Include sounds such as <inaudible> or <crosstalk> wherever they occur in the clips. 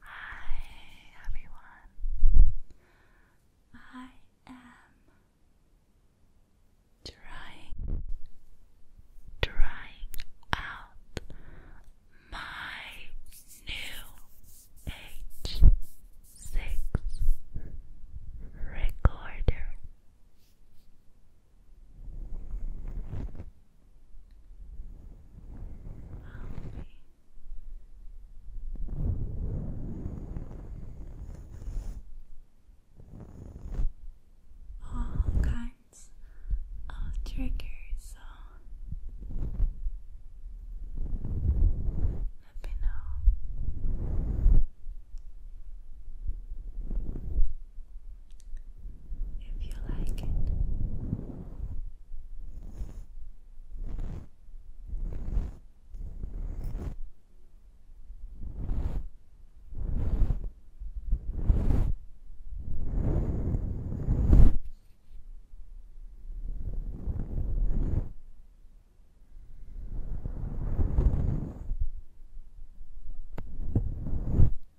Hi everyone. I am trying trying out my new H6 recorder all kinds of triggers, uh, let me know if you like it.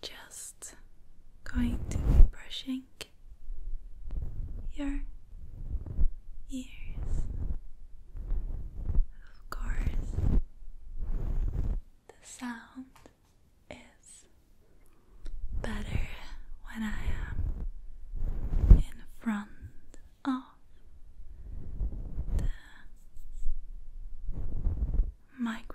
Just just going to be brushing your ears. Of course, the sound is better when I am in front of the microphone.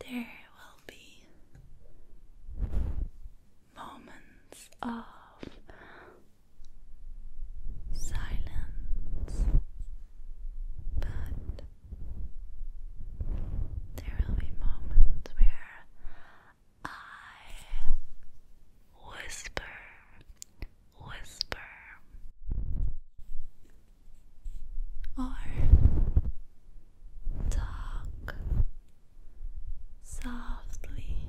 There will be moments of silence, but there will be moments where I whisper whisper or talk softly.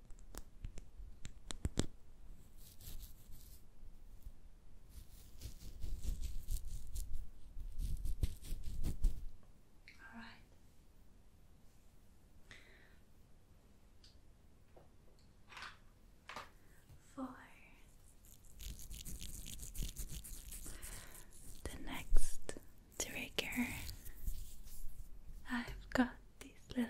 All right. For the next trigger, I've got these little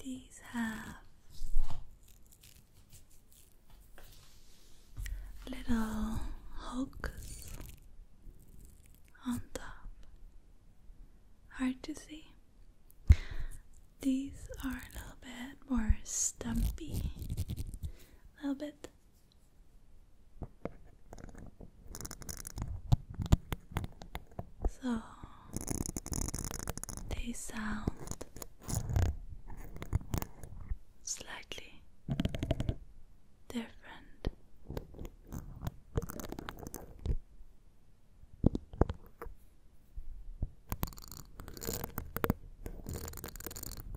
These have little hooks on top. Hard to see. These are a little bit more stumpy a little bit. So they sound slightly different.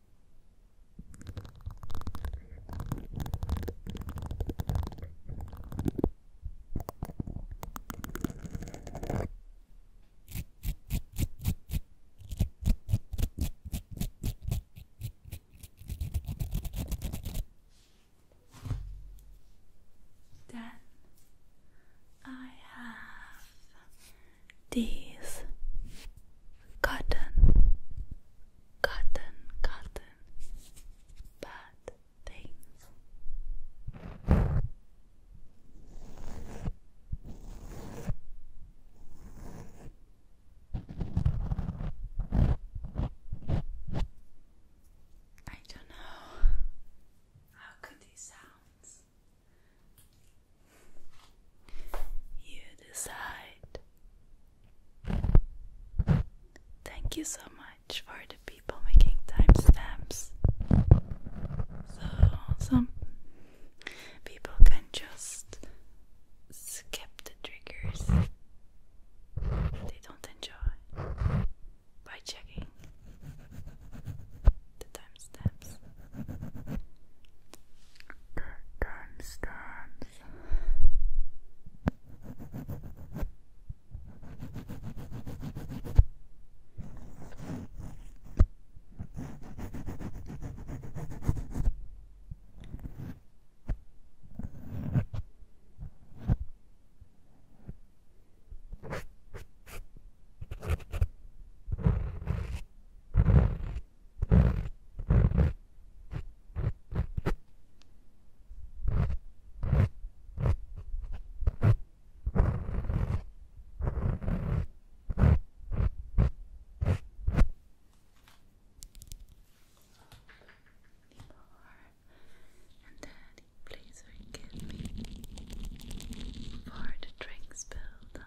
Then I have these cotton, cotton, cotton bad things. I don't know how good these sounds you decide. Thank you so much for the people making timestamps. So some people can just skip the triggers they don't enjoy by checking the timestamps. The timestamps. And Daddy, please forgive me for the drinks spilled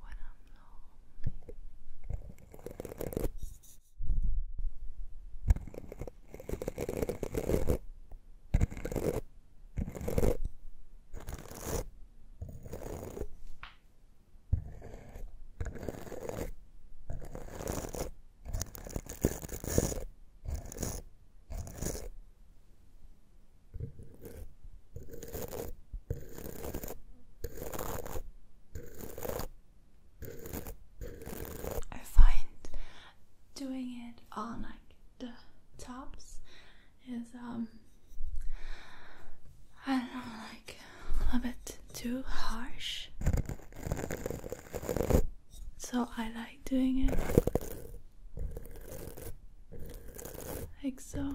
when I'm lonely. I find doing it on like the tops is um I don't know like a bit too harsh. So I like doing it like so.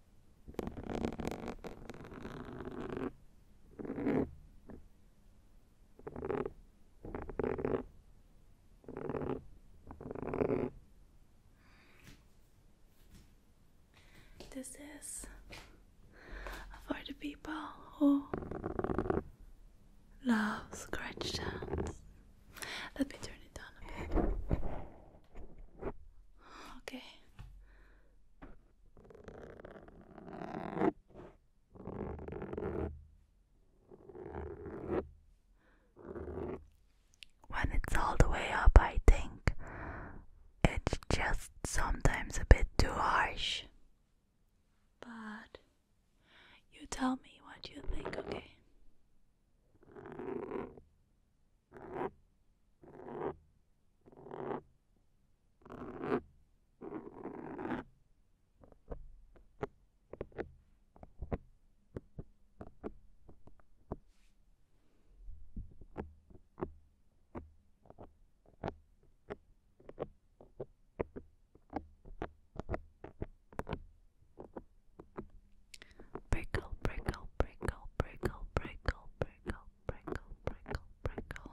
This is for the people who love scratch sounds. Let me turn it down a bit. Okay, when it's all the way up, I think it's just sometimes a bit too harsh. But you tell me what you think, okay? Prickle, prickle, prickle, prickle, prickle, prickle, prickle, prickle, prickle.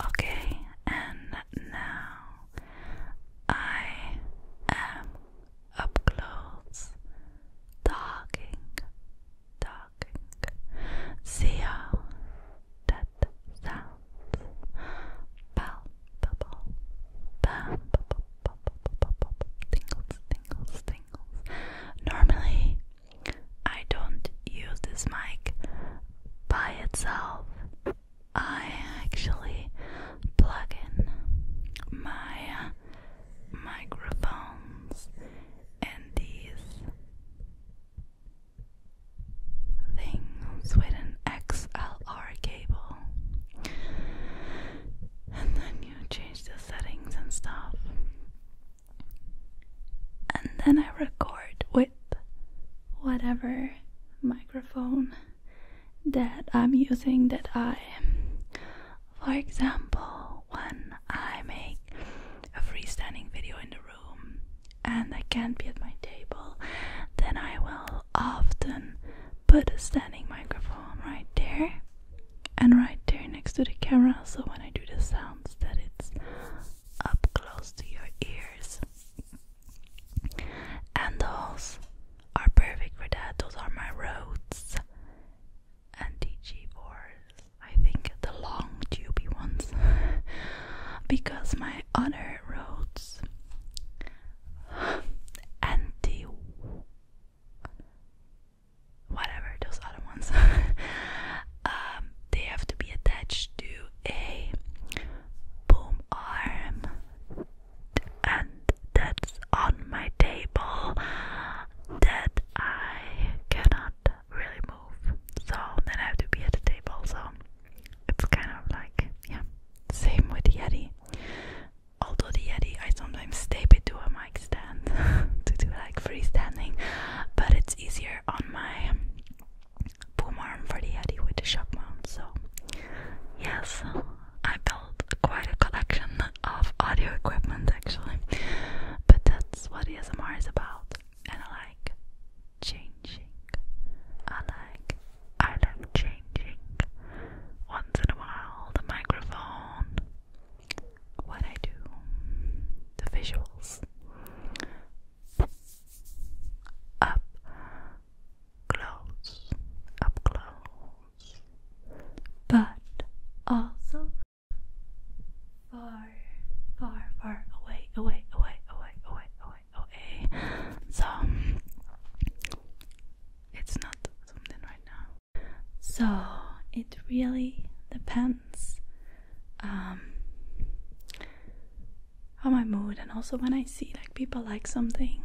Okay, and now I am up close, talking, talking. See how that sounds palpable, palpable, palpable, tingles, tingles, tingles. Normally, I don't use this mic by itself. I actually plug in my microphones and these things with an XLR cable, and then you change the settings and stuff, and then I record with whatever microphone that I'm using that I for example when I make a freestanding video in the room and I can't be at my table then I will often put a standing microphone right there and right there next to the camera so when I do the sounds that it's up close to your ears and those are perfect for that. Those are my roads. And DG4s. I think the long tubey ones. <laughs> because my other roads and the whatever those other ones <laughs> um, they have to be attached to a boom arm, and that's on my table that I cannot really move. So then I have to be at the table. So it's kind of like, yeah, same with the Yeti. Although the Yeti, I sometimes tape it to a mic stand <laughs> to do like freestanding, but it's easier on my Boomer and Freddy Eddy with the shock mount. So, yes, I built quite a collection of audio equipment actually, but that's what ASMR is about. And I like changing. I like, I like changing once in a while the microphone, what I do, the visuals up close, up close, but also far, far, far away, away, away, away, away, away, away. So it's not something right now. So it really depends. Um, on my mood and also when I see like people like something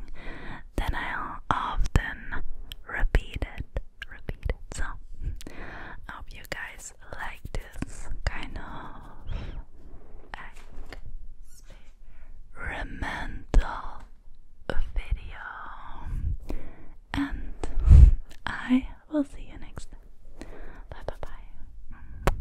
then I'll often repeat it repeat it so hope you guys like this kind of experimental video and I will see you next time bye bye bye